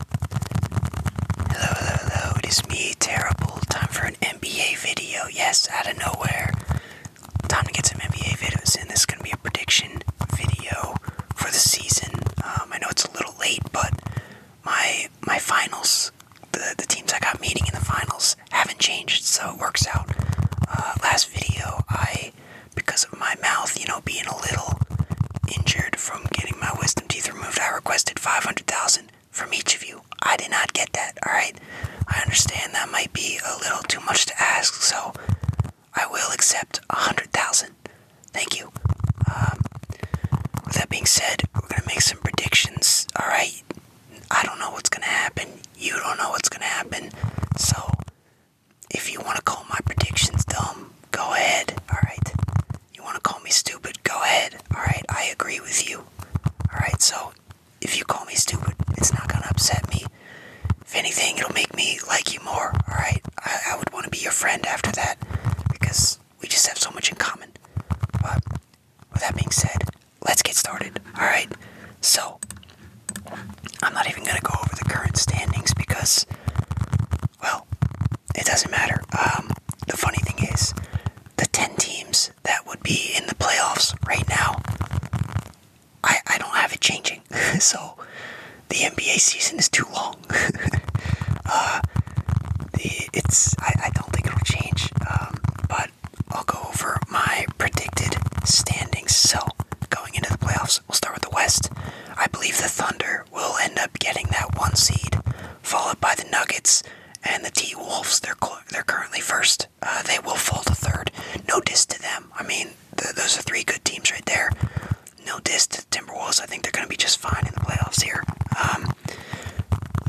Hello, hello, hello, it is me, Terrible. Time for an NBA video. Yes, out of nowhere. Time to get some NBA videos and This is going to be a prediction video for the season. Um, I know it's a little late, but my my finals, the, the teams I got meeting in the finals, haven't changed, so it works out. Uh, last video, I, because of my mouth, you know, being a little injured from getting my wisdom teeth removed, I requested 500,000 from each of you. I did not get that, alright? I understand that might be a little too much to ask, so I will accept 100,000. Thank you. Um, with that being said, we're gonna make some predictions, alright? I don't know what's gonna happen. You don't know what's gonna happen. So, if you want to call my predictions dumb, go ahead. Alright. You want to call me stupid, go ahead. Alright, I agree with you. Alright, so if you call me stupid, it's not going to upset me. If anything, it'll make me like you more. Alright, I, I would want to be your friend after that because we just have so much in common. But with that being said, let's get started. Alright, so I'm not even going to go over the current standings because well, it doesn't matter. Um, the funny thing is, the 10 teams that would be in the playoffs right now, I, I don't have it changing. so the NBA season is too long. Uh, it's I, I don't think it'll change, um, but I'll go over my predicted standings. So going into the playoffs, we'll start with the West. I believe the Thunder we will end up getting that one seed, followed by the Nuggets and the T Wolves. They're they're currently first. Uh, they will fall to third. No diss to them. I mean, those are three good teams right there. No diss to Timberwolves. I think they're going to be just fine in the playoffs here. Um,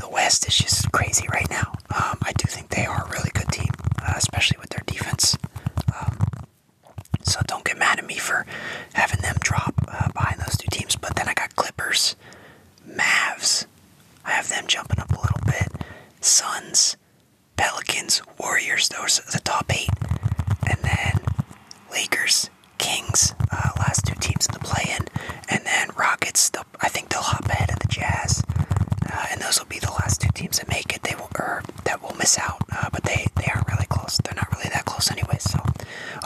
the West is just crazy right now. Um, I do think they are a really good team, uh, especially with their defense. Um, so don't get mad at me for having them drop uh, behind those two teams. But then I got Clippers, Mavs. I have them jumping up a little bit. Suns, Pelicans, Warriors. Those are the top eight. And then Lakers, Kings, uh, last two teams in the play-in. And then Rockets. I think they'll hop ahead of the Jazz. Uh, and those will be the last two teams that make it. They will, or that will miss out, uh, but they they are really close. They're not really that close anyway. So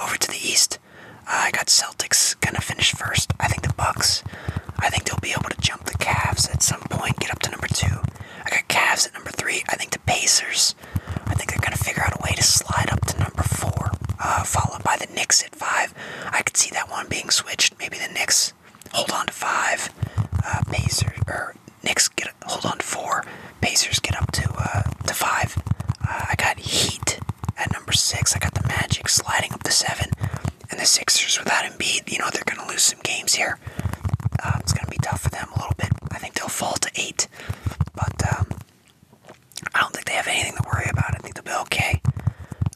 over to the East, uh, I got Celtics gonna finish first. I think the Bucks. I think they'll be able to jump the Cavs at some point, get up to number two. I got Cavs at number three. I think the Pacers. I think they're gonna figure out a way to slide up to number four, uh, followed by the Knicks at five. I could see that one being switched. Maybe the Knicks hold on to five. Pacers or four. Knicks get hold on four. Pacers get up to uh, to five. Uh, I got Heat at number six. I got the Magic sliding up to seven, and the Sixers without Embiid, you know they're gonna lose some games here. Um, it's gonna be tough for them a little bit. I think they'll fall to eight, but um, I don't think they have anything to worry about. I think they'll be okay.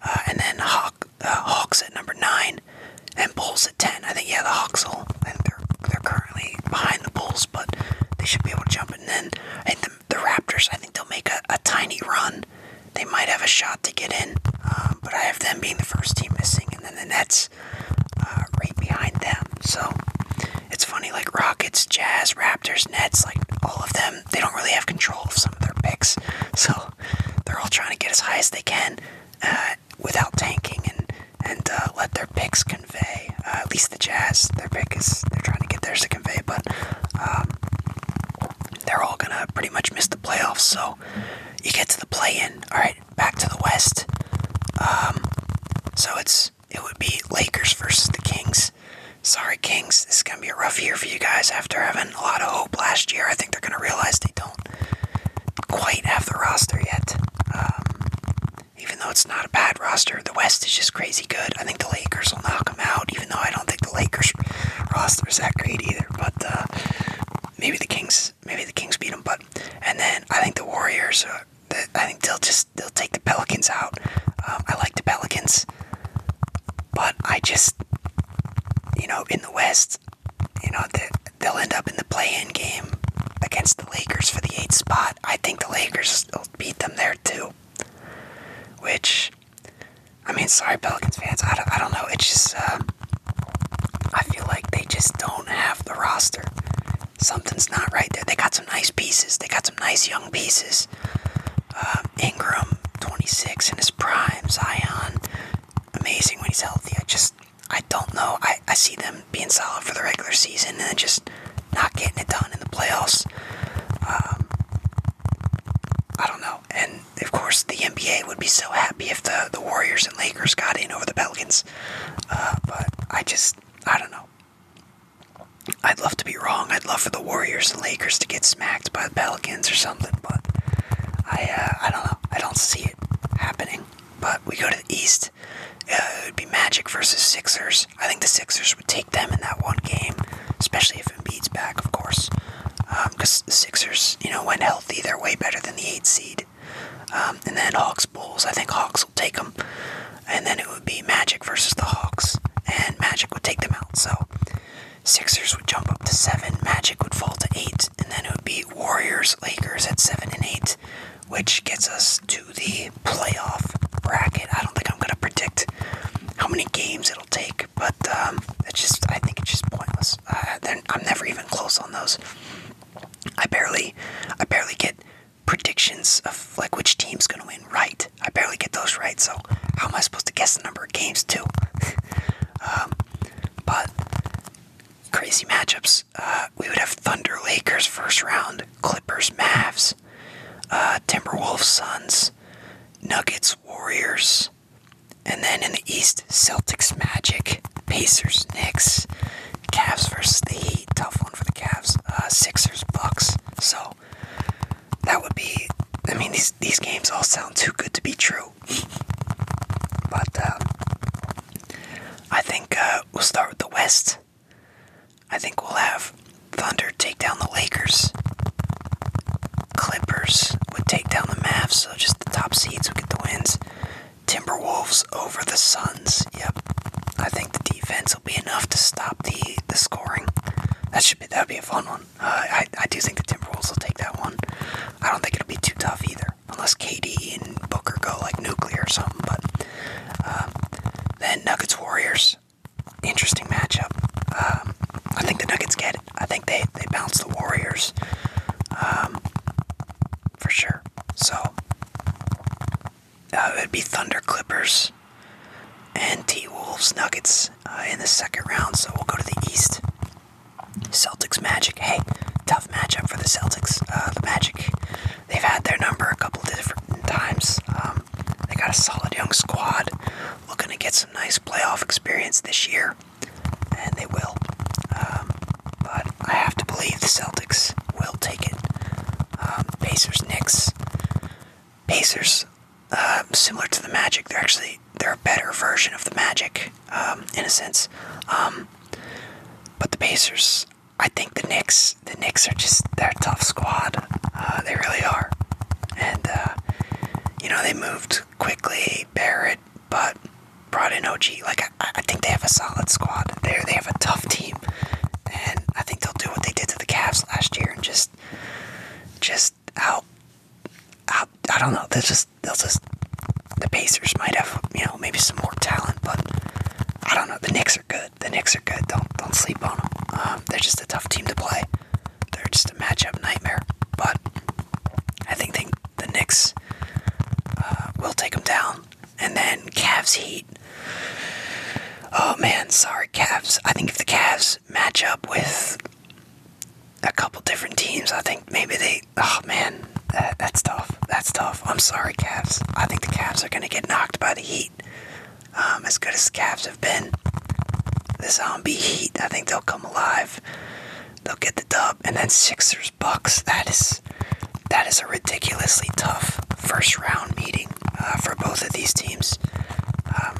Uh, and then Hawk, Hawks at number nine and Bulls at 10. I think, yeah, the Hawks will, and they're, they're currently behind the Bulls, but they should be able to jump it. And then I think the, Raptors, I think they'll make a, a tiny run. They might have a shot to get in, um, but I have them being the first team missing, and then the Nets uh, right behind them. So it's funny, like Rockets, Jazz, Raptors, Nets, like all of them, they don't really have control of some of their picks. So they're all trying to get as high as they can. Uh, without tanking and and uh, let their picks convey. Uh, at least the Jazz, their pick is they're trying to get theirs to convey, but um, they're all gonna pretty much miss the playoffs. So you get to the play-in. All right, back to the West. Um, so it's it would be Lakers versus the Kings. Sorry, Kings. This is gonna be a rough year for you guys after having a lot of hope last year. I think they're gonna realize they don't quite have the roster yet. Um, even though it's not a bad roster, the West is just crazy good. I think the Lakers will knock them out, even though I don't think the Lakers roster is that great either. But uh, maybe the Kings, maybe the Kings beat them. But and then I think the Warriors. I think they'll just they'll take the Pelicans out. Um, I like the Pelicans, but I just you know in the West you know, they'll end up in the play-in game against the Lakers for the eighth spot. I think the Lakers will beat them there too. Which, I mean, sorry, Pelicans fans. I don't, I don't know. It's just, uh, I feel like they just don't have the roster. Something's not right there. They got some nice pieces. They got some nice young pieces. Uh, Ingram, 26 in his prime. Zion, amazing when he's healthy. I just I don't know. I, I see them being solid for the regular season and just not getting it done in the playoffs. Um, I don't know. And of course, the NBA would be so happy if the, the Warriors and Lakers got in over the Pelicans. Uh, but I just, I don't know. I'd love to be wrong. I'd love for the Warriors and Lakers to get smacked by the Pelicans or something. But I uh, I don't know. I don't see it happening. But we go to the East. Uh, it would be Magic versus Sixers. I think the Sixers would take them in that one game, especially if Embiid's back, of course. Because um, the Sixers, you know, when healthy, they're way better than the eight seed. Um, and then Hawks Bulls. I think Hawks will take them. And then it would be Magic versus the Hawks, and Magic would take them out. So Sixers would jump up to seven, Magic would fall to eight, and then it would be Warriors, Lakers at seven and eight, which gets us to the playoff bracket. I don't think I'm gonna predict how many games it'll take, but um, it's just I think it's just pointless. Uh, I'm never even close on those. I barely, I barely get predictions of like which team's gonna win right. I barely get those right, so how am I supposed to guess the number of games too? Um, but crazy matchups. Uh, we would have Thunder Lakers first round, Clippers Mavs, uh, Timberwolves Suns, Nuggets Warriors, and then in the East, Celtics Magic, Pacers Knicks, Cavs versus the Heat. Tough one for the Cavs. Uh, Sixers Bucks. So that would be. I mean, these these games all sound too good to be true. But um, I think uh, we'll start with the West. I think we'll have Thunder take down the Lakers. Clippers would take down the Mavs, so just the top seeds would get the wins. Timberwolves over the Suns. Yep, I think the defense will be enough to stop the the scoring. That should be that would be a fun one. I I do think the Timberwolves will take that one. I don't think it'll be too tough either, unless KD and Booker go like nuclear or something. But um, then Nuggets Warriors, interesting matchup. Um, I think the Nuggets get I think they they bounce the Warriors, um, for sure. So uh, it'd be Thunder Clippers and T Wolves Nuggets. Uh, in the second round, so we'll go to the East. Celtics Magic. Hey, tough matchup for the Celtics. Uh, the Magic, they've had their number a couple different times. Um, they got a solid young squad, looking to get some nice playoff experience this year, and they will. Um, but I have to believe the Celtics will take it. Um, Pacers, Knicks. Pacers um, similar to the Magic. They're actually they're a better version of the Magic um, in a sense. Um, but the Pacers, I think the Knicks, the Knicks are just they're a tough squad. Uh, they really are, and uh, you know they moved quickly. Barrett, but brought in OG. Like I, I think they have a solid squad. There, they have a tough team, and I think they'll do what they did to the Cavs last year and just just just how, I don't know. they That's just they'll just the Pacers might have you know maybe some more talent, but I don't know. The Knicks are good. The Knicks are good. Don't don't sleep on them. Um, they're just a tough team to play. They're just a matchup nightmare. But I think they, the Knicks uh, will take them down, and then Cavs Heat. Oh man, sorry Cavs. I think if the Cavs match up with a couple different teams. I think maybe they. Oh man, that's tough. That's tough. I'm sorry, Cavs. I think the Cavs are gonna get knocked by the Heat. Um, as good as the Cavs have been, the Zombie Heat. I think they'll come alive. They'll get the dub, and then Sixers Bucks. That is that is a ridiculously tough first round meeting. Uh, for both of these teams. Um,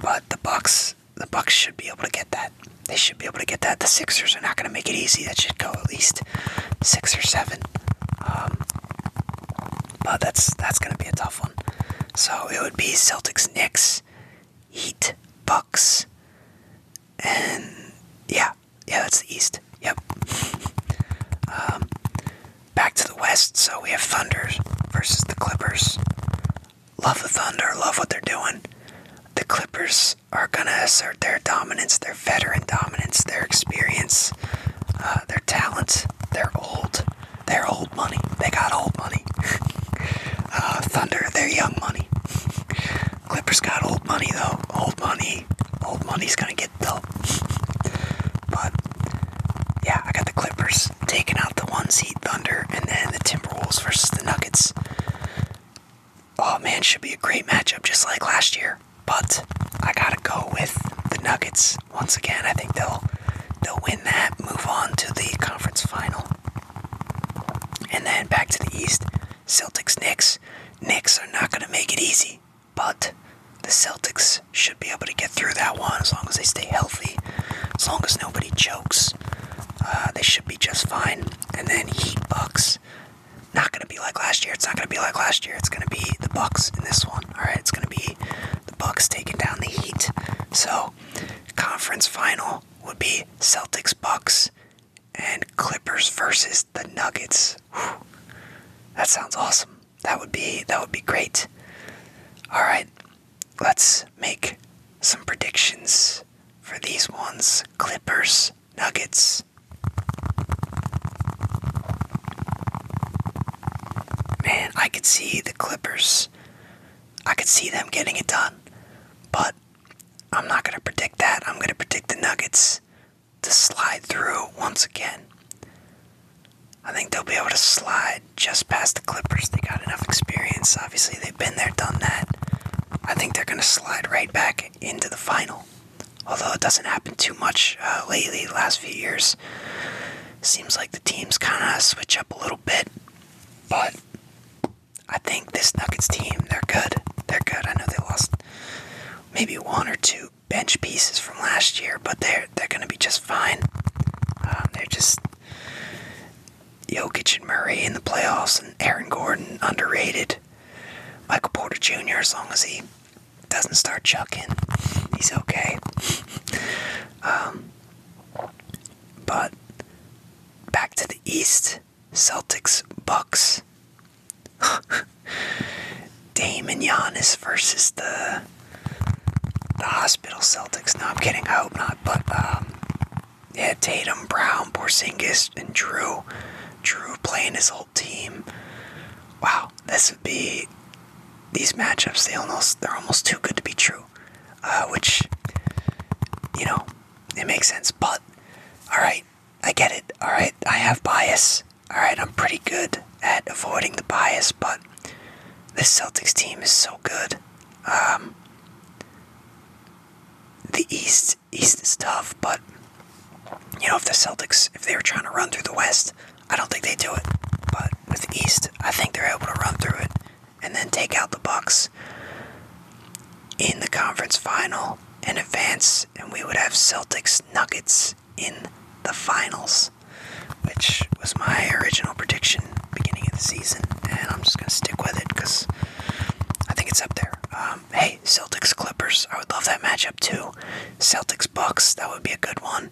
but the Bucks, the Bucks should be able to get that. They should be able to get that. The Sixers are not going to make it easy. That should go at least six or seven. Um, but that's that's going to be a tough one. So it would be Celtics, Knicks, Heat, Bucks, and yeah, yeah, that's the East. Yep. Um, Back to the West, so we have Thunder versus the Clippers. Love the Thunder, love what they're doing. The Clippers are going to assert their dominance, their veteran dominance, their experience, uh, their talent, their old, their old money. They got old money. uh, Thunder, their young money. Clippers got old money though. Old money. Old money's gonna get but yeah, I got the Clippers taking out the one seed Thunder, and then the Timberwolves versus the Nuggets. Oh man, should be a great matchup, just like last year. But I gotta go with the Nuggets once again. I think they'll they'll win that, move on to the conference final, and then back to the East. Celtics, Knicks. Knicks are not gonna make it easy. But the Celtics should be able to get through that one as long as they stay healthy, as long as nobody chokes. Uh, they should be just fine. And then Heat Bucks. Not gonna be like last year. It's not gonna be like last year. It's gonna be the Bucks in this one. All right. It's gonna be the Bucks taking down the Heat. So conference final would be Celtics Bucks and Clippers versus the Nuggets. That sounds awesome. That would be that would be great. All right. Let's make some predictions for these ones. Clippers, Nuggets. Man, I could see the Clippers. I could see them getting it done. But I'm not going to predict that. I'm going to predict the Nuggets to slide through once again. I think they'll be able to slide just past the Clippers. They got enough experience. Obviously, they've been there, done that. I think they're going to slide right back into the final. Although it doesn't happen too much uh, lately, last few years. Seems like the teams kind of switch up a little bit. But I think this Nuggets team, they're good. They're good. I know they lost maybe one or two bench pieces from last year, but they're they're gonna be just fine. Um, they're just Jokic and Murray in the playoffs, and Aaron Gordon underrated. Michael Porter Jr. As long as he doesn't start chucking, he's okay. um, but back to the East, Celtics, Bucks. Dame and Giannis versus the the hospital Celtics. No, I'm kidding. I hope not. But um, yeah, Tatum, Brown, Porzingis, and Drew. Drew playing his old team. Wow, this would be these matchups. They almost they're almost too good to be true, uh, which you know it makes sense. But all right, I get it. All right, I have bias. Alright, I'm pretty good at avoiding the bias, but this Celtics team is so good. Um, the East East is tough, but you know, if the Celtics if they were trying to run through the West, I don't think they would do it. But with the East, I think they're able to run through it and then take out the Bucks in the conference final and advance and we would have Celtics Nuggets in the finals, which was my original prediction beginning of the season, and I'm just gonna stick with it because I think it's up there. Um, hey, Celtics Clippers, I would love that matchup too. Celtics Bucks, that would be a good one.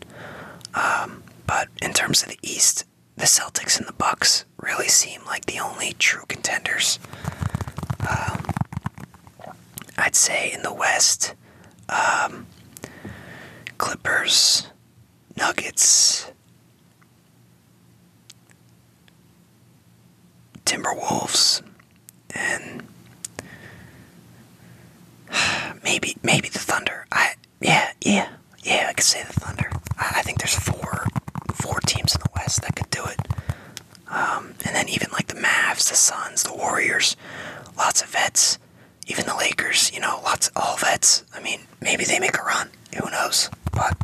Um, but in terms of the East, the Celtics and the Bucks really seem like the only true contenders. Um, I'd say in the West, um, Clippers, Nuggets, Timberwolves, and maybe maybe the Thunder. I yeah yeah yeah I could say the Thunder. I think there's four four teams in the West that could do it. Um, and then even like the Mavs, the Suns, the Warriors, lots of vets. Even the Lakers, you know, lots all vets. I mean, maybe they make a run. Who knows? But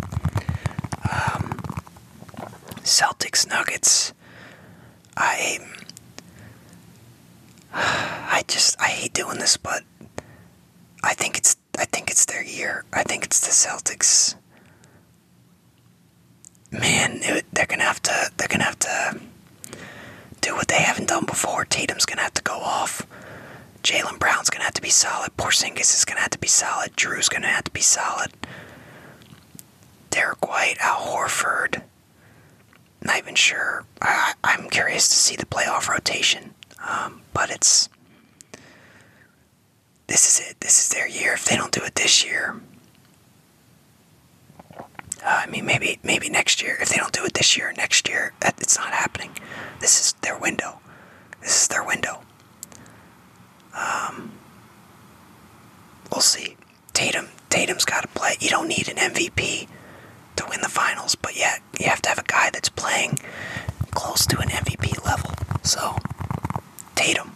um, Celtics, Nuggets. I I just I hate doing this, but I think it's I think it's their year. I think it's the Celtics man, they're gonna have to. They're gonna have to do what they haven't done before. Tatum's gonna have to go off. Jalen Brown's gonna have to be solid. Porzingis is gonna have to be solid. Drew's gonna have to be solid. Derek White, Al Horford. Not even sure. I, am curious to see the playoff rotation, um, but it's this is it. This is their year. If they don't do it this year, uh, I mean, maybe maybe next year. If they don't do it this year, next year, it's not happening. This is their window. This is their window. Um, we'll see. Tatum, Tatum's got to play. You don't need an MVP to win the finals, but yet yeah, you have to have a guy that's playing close to an MVP level. So, Tatum,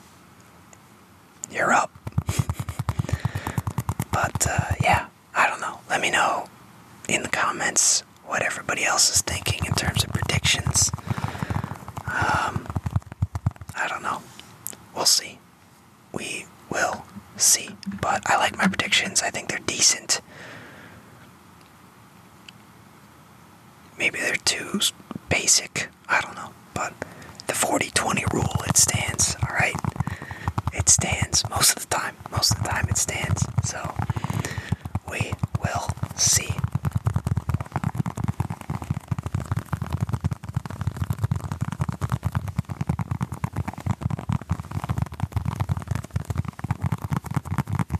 you're up. but uh, yeah, I don't know. Let me know in the comments what everybody else is thinking in terms of predictions. Um, I don't know. We'll see. We will see. But I like my predictions. I think they're decent. Maybe they're too basic. I don't know. But the 40 20 rule, it stands, alright? It stands most of the time. Most of the time, it stands. So, we will see.